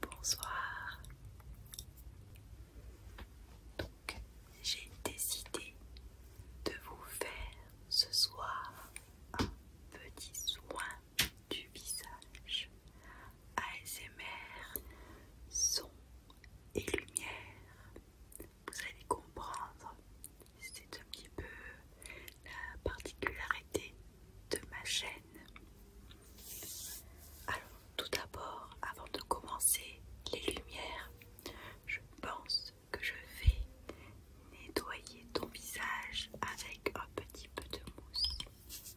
Bonsoir. j'ai décidé de vous faire ce soir un petit soin du visage ASMR, son et lumière. Vous allez comprendre, c'est un petit peu la particularité de ma chaîne. Alors, tout d'abord, avant de commencer les lumières, je pense que je vais nettoyer ton visage avec un petit peu de mousse.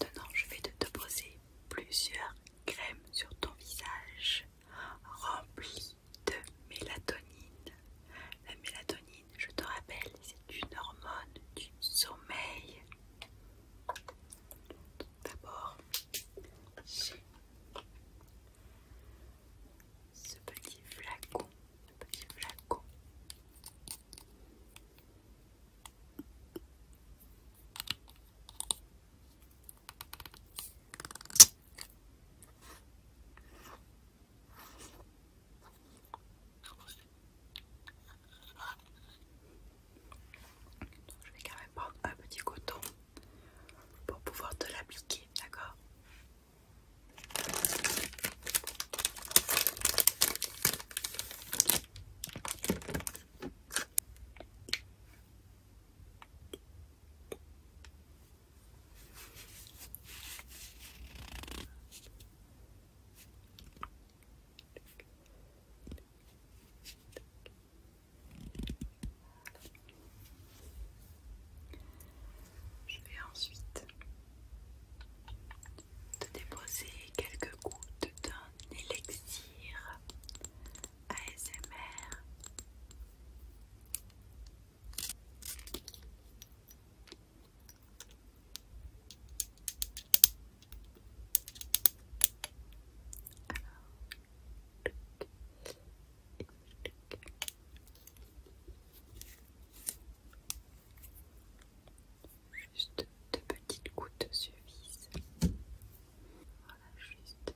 Maintenant, je vais te poser plusieurs crèmes sur ton visage remplies de mélatonine. La mélatonine je te rappelle, c'est une hormone du sommeil. D'abord, ce petit flacon, ce petit flacon je vais quand même prendre un petit coton pour pouvoir te l'appliquer, d'accord je vais ensuite te déposer quelques gouttes d'un élixir ASMR. Juste deux petites gouttes vis, Voilà, juste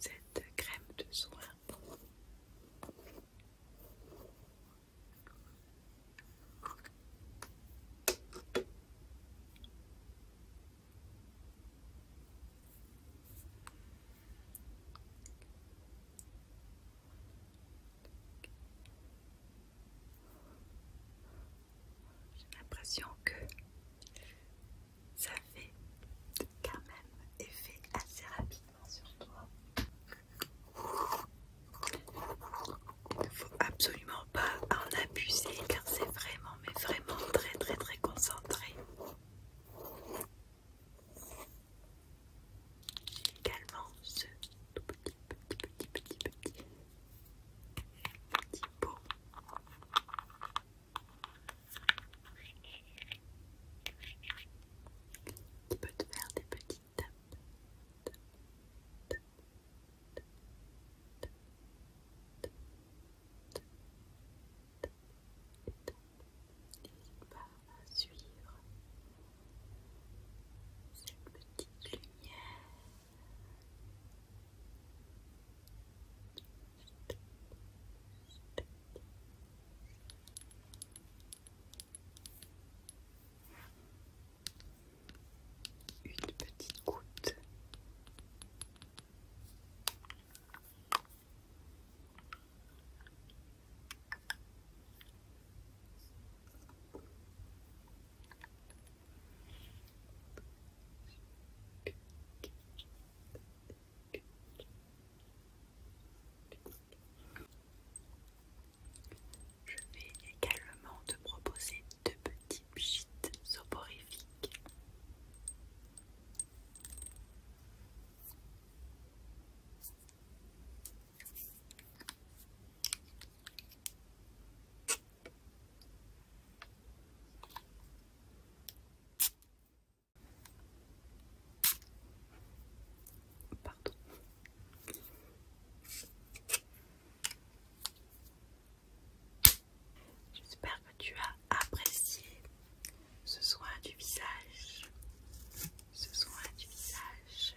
cette crème de soin. J'ai l'impression que ça fait quand même effet assez rapidement sur toi. Il ne faut absolument pas en abuser car c'est vraiment mais vraiment très très très concentré également ce tout petit, petit, petit, petit, petit, petit pot. Qui peut faire des petites tapes suivre cette petite lumière. Une petite goutte. Une petite goutte. Je vais également te proposer deux petits pchits soporifiques. Pardon. J'espère que tu as apprécié ce soin du visage. Ce soin du visage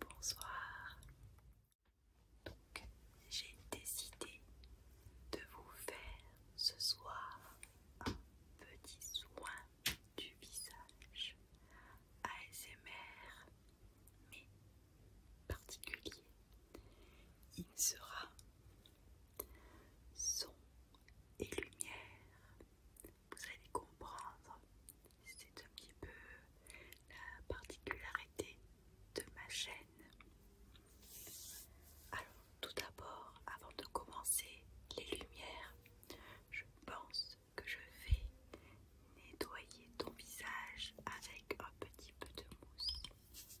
Bonsoir. Donc, j'ai décidé de vous faire ce soir un petit soin du visage ASMR, mais particulier. Il sera son et lumière vous allez comprendre. C'est un petit peu la particularité de ma chaîne. Alors, tout d'abord, avant de commencer les lumières, je pense que je vais nettoyer ton visage avec un petit peu de mousse.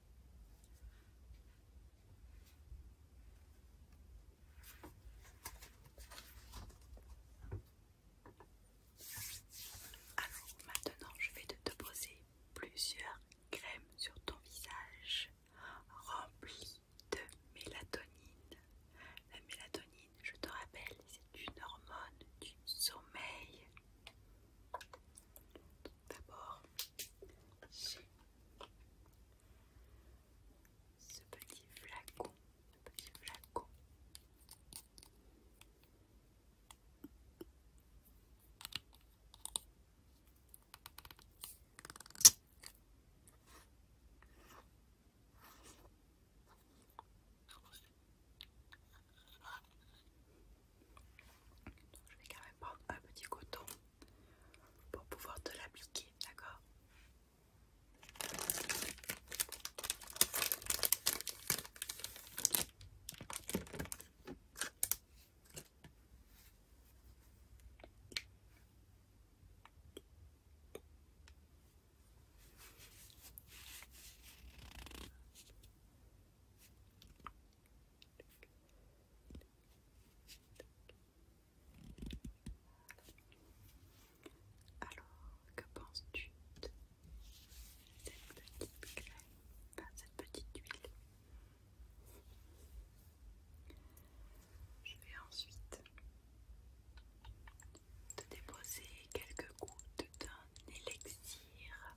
Alors maintenant, je vais te poser plusieurs crèmes sur ton visage remplies de mélatonine. La mélatonine, je te rappelle, c'est une hormone du sommeil D'abord, ce petit flacon, ce petit flacon. Je vais quand même prendre un petit coton pour pouvoir te l'appliquer, d'accord alors, que penses-tu de cette petite crème, cette petite huile Je vais ensuite te déposer quelques gouttes d'un élixir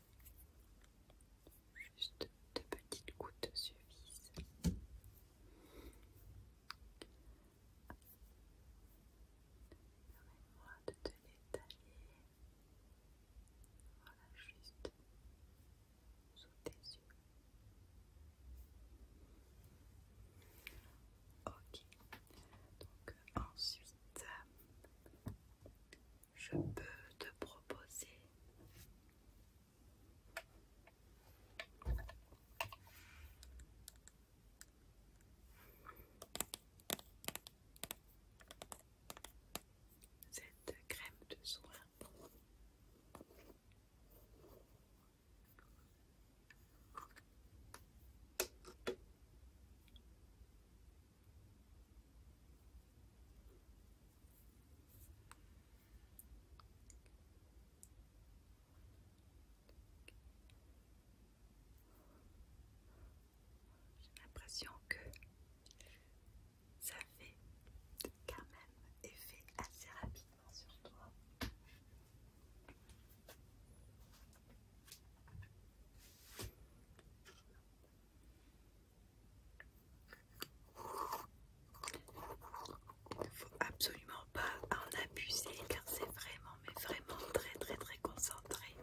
Juste deux petites gouttes suffisent. Permets-moi de te l'étaler. Voilà, juste sous tes yeux. Ok, donc ensuite, je peux te proposer cette crème de soin. J'ai l'impression que ça fait quand même effet assez rapidement sur toi. Il faut absolument pas en abuser car c'est vraiment, mais vraiment très très très concentré.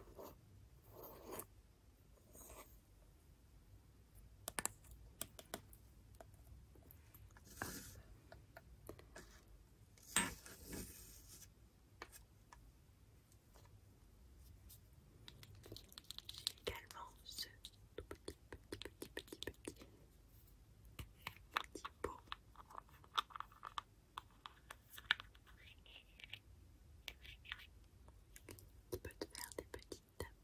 J'ai également ce tout petit, petit, petit, petit, petit, petit beau. Tu te faire des petites tapes.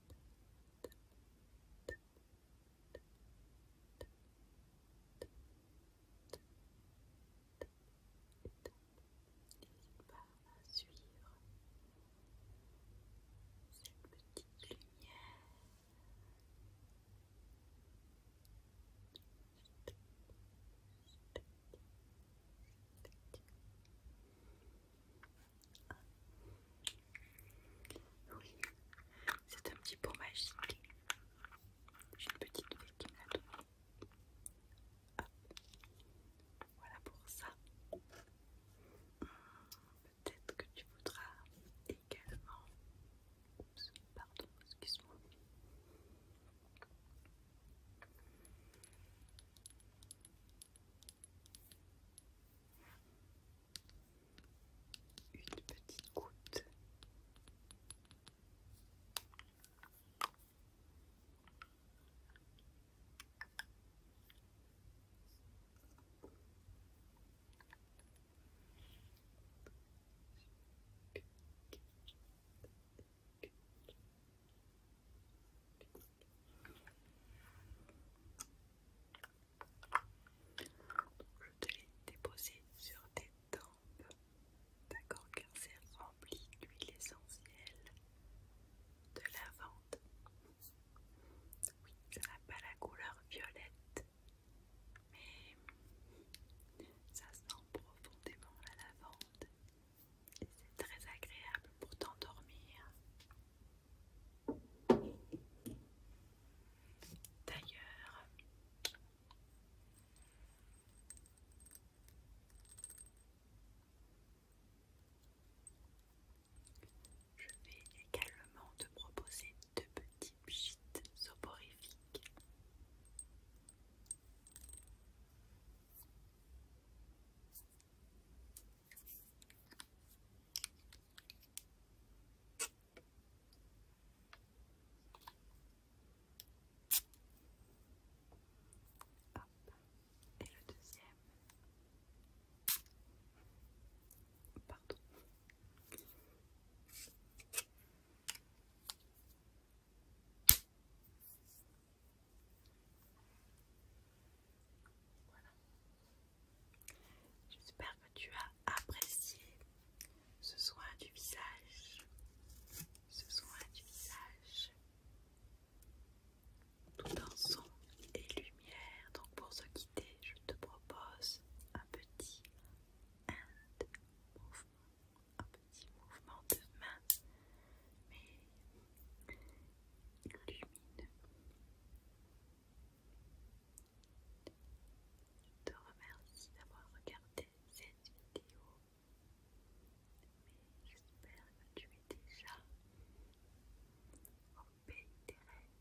N'hésite pas à suivre cette petite lumière. Oui, c'est un petit pot magique. J'ai une petite fille qui me voilà pour ça. Peut-être que tu voudras également. pardon, excuse-moi. Une petite goutte je te l'ai déposé sur tes D'accord, car c'est rempli d'huile essentielle de lavande. Oui, ça n'a pas la couleur violette, mais ça sent profondément la lavande et c'est très agréable pour t'endormir. D'ailleurs, je vais également te proposer deux petits chites soporifiques. Et le deuxième. Pardon. Voilà. J'espère que tu as apprécié ce soin du visage, ce soin du visage, tout en son et lumière. Donc pour se quitter, je te propose un petit mouvement, un petit mouvement de main, mais lumineux. Je te remercie d'avoir regardé cette vidéo. Mais j'espère que tu es déjà au pays des rêves.